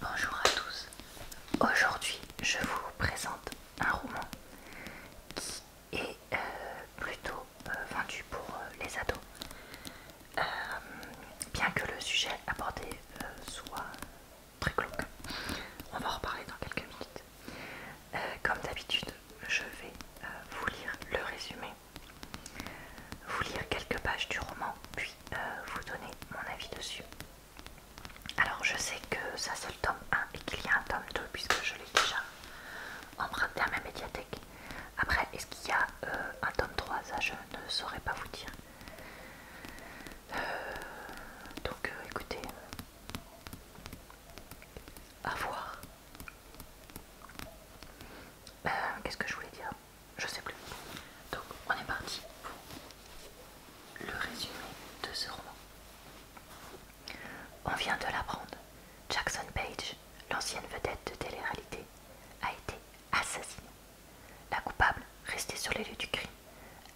Bonjour à tous, aujourd'hui je vous présente un roman qui est euh, plutôt euh, vendu pour euh, les ados, bien que le sujet abordé soit très glauque. On va en reparler dans quelques minutes. comme d'habitude, je vais vous lire le résumé, vous lire quelques pages du roman, puis euh, vous donner mon avis dessus. Alors je sais que ça c'est le tome 1 et qu'il y a un tome 2 puisque je l'ai déjà emprunté à ma médiathèque. Après, est-ce qu'il y a euh, un tome 3 Ça je ne saurais pas vous dire. Euh, donc écoutez, à voir. Qu'est-ce que je voulais dire je sais plus. Donc on est parti pour le résumé de ce roman. On vient de l'apprendre. Jackson Page, l'ancienne vedette de télé-réalité, a été assassinée. La coupable, restée sur les lieux du crime,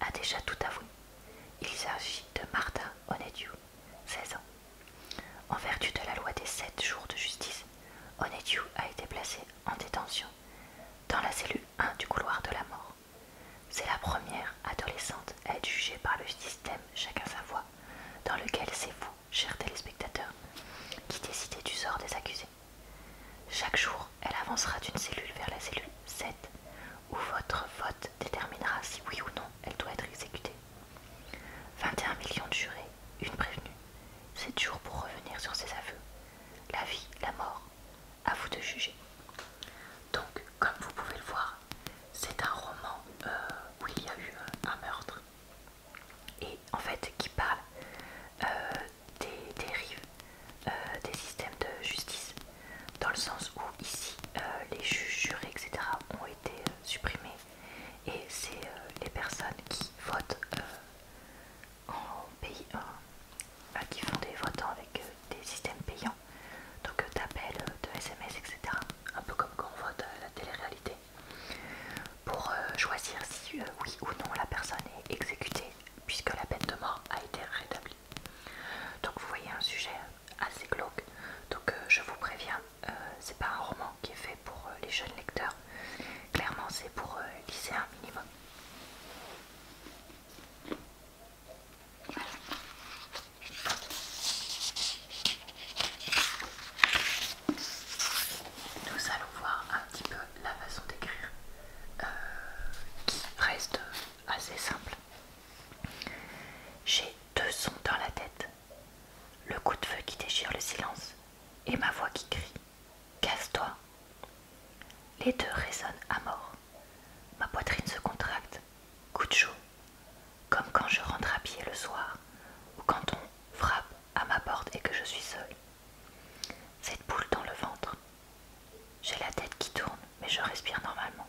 a déjà tout avoué. Il s'agit de Martha Onediu, 16 ans. En vertu de la loi des 7 jours de justice, Onediu a été placée en détention dans la cellule 1 du couloir de la mort. C'est la première adolescente à être jugée par le système Chacun sa voix, dans lequel c'est vous, chers téléspectateurs, qui décidez du sort des accusés. Chaque jour, elle avancera d'une cellule vers la cellule 7, où votre vote déterminera si oui ou non elle doit être exécutée. 21 millions de jurés, une prévenue, 7 jours pour revenir sur ses aveux, la vie, la mort, à vous de juger. Donc, comme vous pouvez le voir, c'est un roman euh, où il y a eu euh, un meurtre et en fait qui parle euh, des dérives des, systèmes de justice, dans le sens où ici les juges, jurés, etc. ont été supprimés et c'est les personnes qui votent en pays euh, qui font des votants avec euh, des systèmes payants. Donc d'appels, euh, de SMS, etc. Un peu comme quand on vote la télé-réalité. Pour choisir si oui ou non la personne est exécutée puisque la peine de mort a été rétablie. Donc vous voyez un sujet assez glauque. Donc je vous préviens, c'est pas un roman qui est fait pour les jeunes lecteurs. Clairement, c'est pour glisser euh, un minimum. Nous allons voir un petit peu la façon d'écrire euh, qui reste assez simple. J'ai deux sons dans la tête, le coup de feu qui déchire le silence et ma voix qui crie. Casse-toi. Les deux résonnent à mort. Ma poitrine se contracte. Coup de chaud. Comme quand je rentre à pied le soir ou quand on frappe à ma porte et que je suis seule. Cette boule dans le ventre. J'ai la tête qui tourne, mais je respire normalement.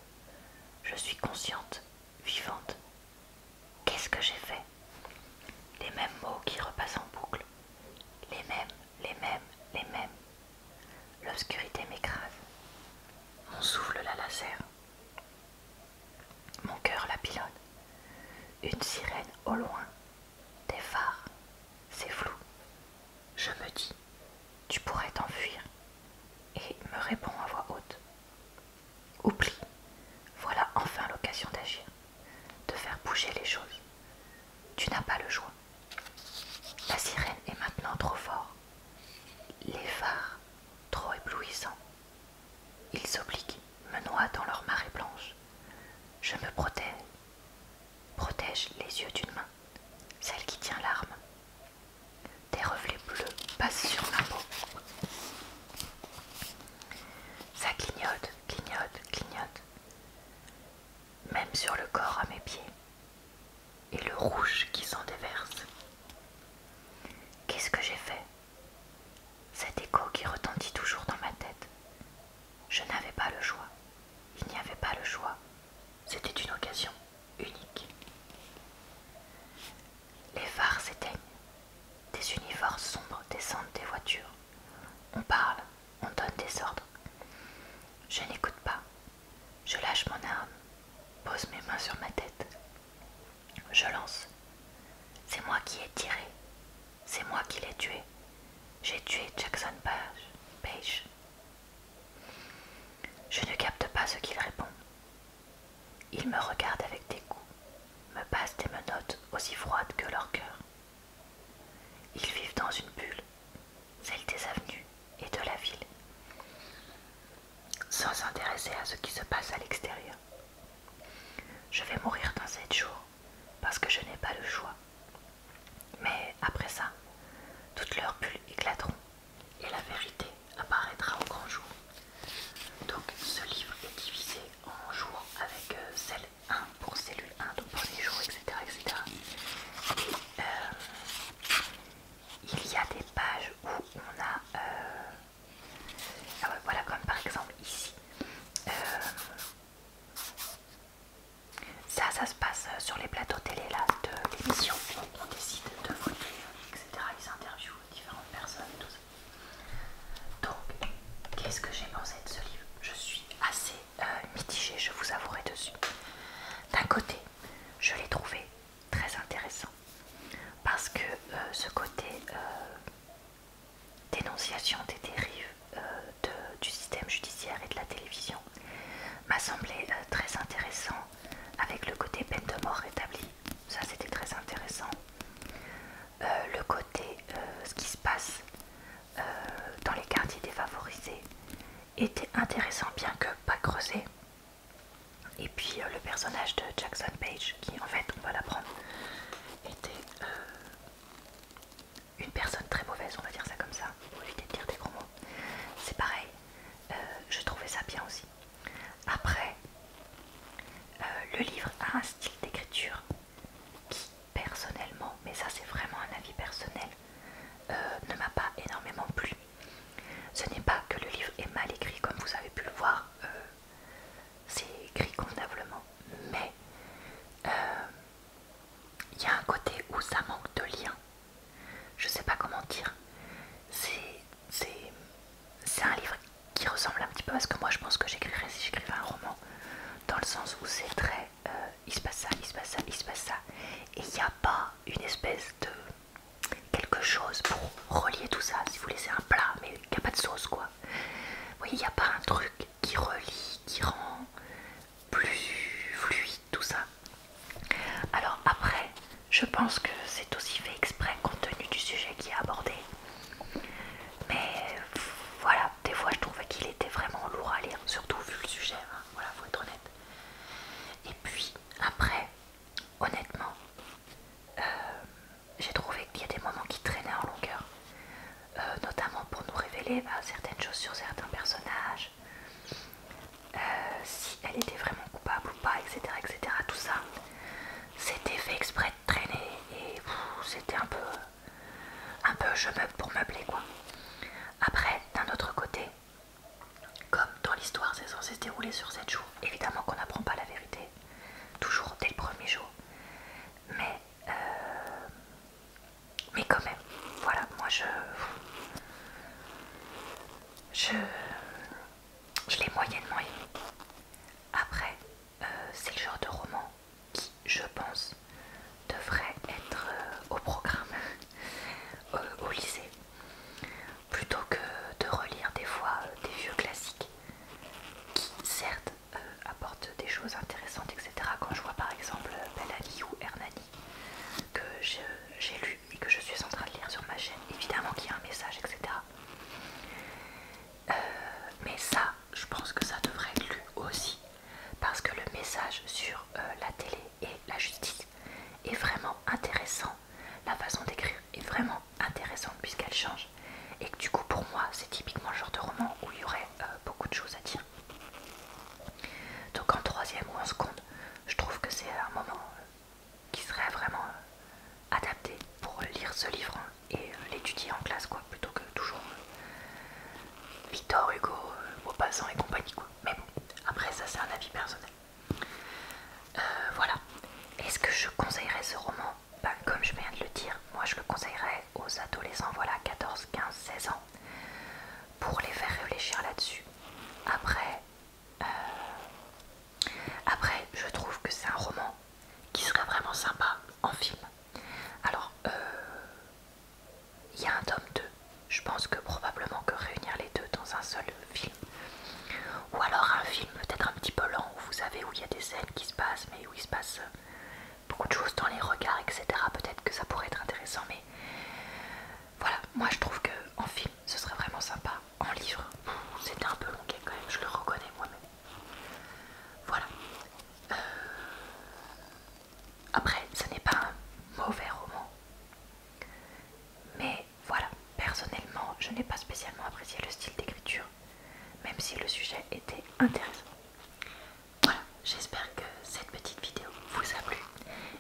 Je suis consciente, vivante. Qu'est-ce que j'ai fait les mêmes mots qui repassent en boucle. Les mêmes, les mêmes, les mêmes. L'obscurité m'écrase. Mon souffle la lacère. Mon cœur la pilonne. Une sirène au loin. Des phares. C'est flou. Je me dis, tu pourrais t'enfuir. Et me réponds à voix haute. Oublie. Voilà enfin l'occasion d'agir de faire bouger les choses. Tu n'as pas le choix. La sirène est maintenant trop fort. Les phares trop éblouissants. Ils s'obliquent, me noient dans leur marée blanche. Je me protège. Protège les yeux d'une main, celle qui tient l'arme. Des reflets bleus passent sur ma peau. Ça clignote clignote, clignote, même sur le corps à mes pieds, et le rouge qui s'en déverse. Qu'est-ce que j'ai fait Cet écho qui retentit toujours dans ma tête. Je n'avais pas le choix. Il n'y avait pas le choix. C'était une occasion unique. Les phares s'éteignent. Des univers sombres descendent des voitures. On parle, on donne des ordres. Je n'écoute pas. Je lâche mon arme, pose mes mains sur ma tête. Je lance. C'est moi qui ai tiré. C'est moi qui l'ai tué. J'ai tué Jackson Page. Je ne capte pas ce qu'il répond. Il me regarde avec des dégoût, me passe des menottes aussi froides que leur cœur. Ils vivent dans une bulle, celle des avenues et de la ville, sans s'intéresser à ce qui se passe à l'extérieur. Je vais mourir dans 7 jours, parce que je n'ai pas le choix. Mais après ça, toutes leurs bulles éclateront et la vérité apparaîtra au grand jour. Donc ce livre est divisé en jours avec euh, celle un pour cellule 1, donc pour les jours, etc. Euh, il y a des pages où on a, euh, ah voilà, comme par exemple ici. Euh, ça, ça se passe sur les plateaux télé là, de l'émission. On décide de voter, etc. Ils interviewent différentes personnes, tout ça. Donc, qu'est-ce que j'ai pensé de ce livre Je suis assez euh, mitigée, je vous avouerai dessus. D'un côté, je l'ai trouvé très intéressant parce que euh, ce côté euh, dénonciation des dérives du système judiciaire et de la télévision m'a semblé très intéressant avec le côté peine de mort rétablie. Ça, c'était très intéressant. Euh, le côté, euh, ce qui se passe euh, dans les quartiers défavorisés était intéressant, bien que pas creusé. Et puis le personnage de Jackson Page, qui en fait, on va l'apprendre, était une personne très mauvaise, on va dire ça comme ça, pour éviter de dire des gros mots. C'est pareil, je trouvais ça bien aussi. Après, le livre a un style d'écriture qui personnellement, mais ça c'est vraiment un avis personnel, euh, ne m'a pas énormément plu. Ce n'est pas que le livre est mal écrit comme vous avez pu le voir, euh, c'est écrit convenablement, mais euh, il y a un côté où ça manque de lien. Je sais pas comment dire. C'est un livre qui ressemble un petit peu à ce que moi je pense que j'écrirais si j'écrivais un roman, dans le sens où c'est très euh, il se passe ça, il se passe ça, il se passe ça, et il n'y a pas une espèce de quelque chose pour relier tout ça. Si vous laissez un plat, mais il n'y a pas de sauce quoi. Vous voyez, il n'y a pas un truc qui relie, qui rend plus fluide tout ça. Alors après, je pense que c'est aussi fait exprès compte tenu du sujet qui est abordé mais voilà, des fois je trouvais qu'il était vraiment lourd à lire, surtout vu le sujet, hein. voilà, faut être honnête. Et puis après, honnêtement, euh, j'ai trouvé qu'il y a des moments qui traînaient en longueur, euh, notamment pour nous révéler bah, certaines choses sur certains personnages, euh, si elle était vraiment coupable ou pas, etc. etc. tout ça, c'était fait exprès traîner et c'était un peu un peu je meuble pour meubler quoi. Après, d'un autre côté, comme dans l'histoire c'est censé se dérouler sur sept jours, évidemment qu'on n'apprend pas la vérité, toujours dès le premier jour. Mais euh, mais quand même, voilà, moi je je, je l'ai moyennement Après, euh, c'est le genre de roman qui, je pense, devrait être euh, au programme au lycée, plutôt que de relire des fois euh, des vieux classiques qui, certes, apportent des choses intéressantes, etc. Quand je vois par exemple Ali ou Hernani, que j'ai lu et que je suis en train de lire sur ma chaîne, évidemment qu'il y a un message, etc. Euh, mais ça, je pense que ça devrait être lu aussi, parce que le message sur euh, la télé et la justice est vraiment intéressant. La façon d'écrire est vraiment intéressante puisqu'elle change. Et que du coup, pour moi, c'est typiquement le genre de roman où il y aurait euh, beaucoup de choses à dire. Donc en troisième ou en seconde, je trouve que c'est un moment qui serait vraiment adapté pour lire ce livre hein et euh, l'étudier en classe quoi plutôt que toujours euh, Victor Hugo, au euh, Maupassant et compagnie quoi. Mais bon, après ça c'est un avis personnel. voilà. Est-ce que je conseillerais ce roman ben, Comme je viens de le dire, moi je le conseillerais aux adolescents, voilà 14, 15, 16 ans, pour les faire réfléchir là-dessus. Après, après, je trouve que c'est un roman qui serait vraiment sympa en film. Alors, euh, il y a un tome 2. Je pense que probablement que réunir les deux dans un seul film. Ou alors un film peut-être un petit peu lent, où vous savez, où il y a des scènes qui se passent, mais où il se passe euh, beaucoup de choses dans les regards, etc. Peut-être que ça pourrait être intéressant, mais voilà, moi je trouve que en film, ce serait vraiment sympa en livre, c'était un peu long quand même, je le reconnais moi-même. Voilà. Euh, après, ce n'est pas un mauvais roman. Mais voilà, personnellement, je n'ai pas spécialement apprécié le style d'écriture, même si le sujet était intéressant. Voilà, j'espère que cette petite vidéo vous a plu.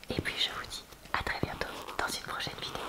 Et puis je vous dis à très bientôt dans une prochaine vidéo.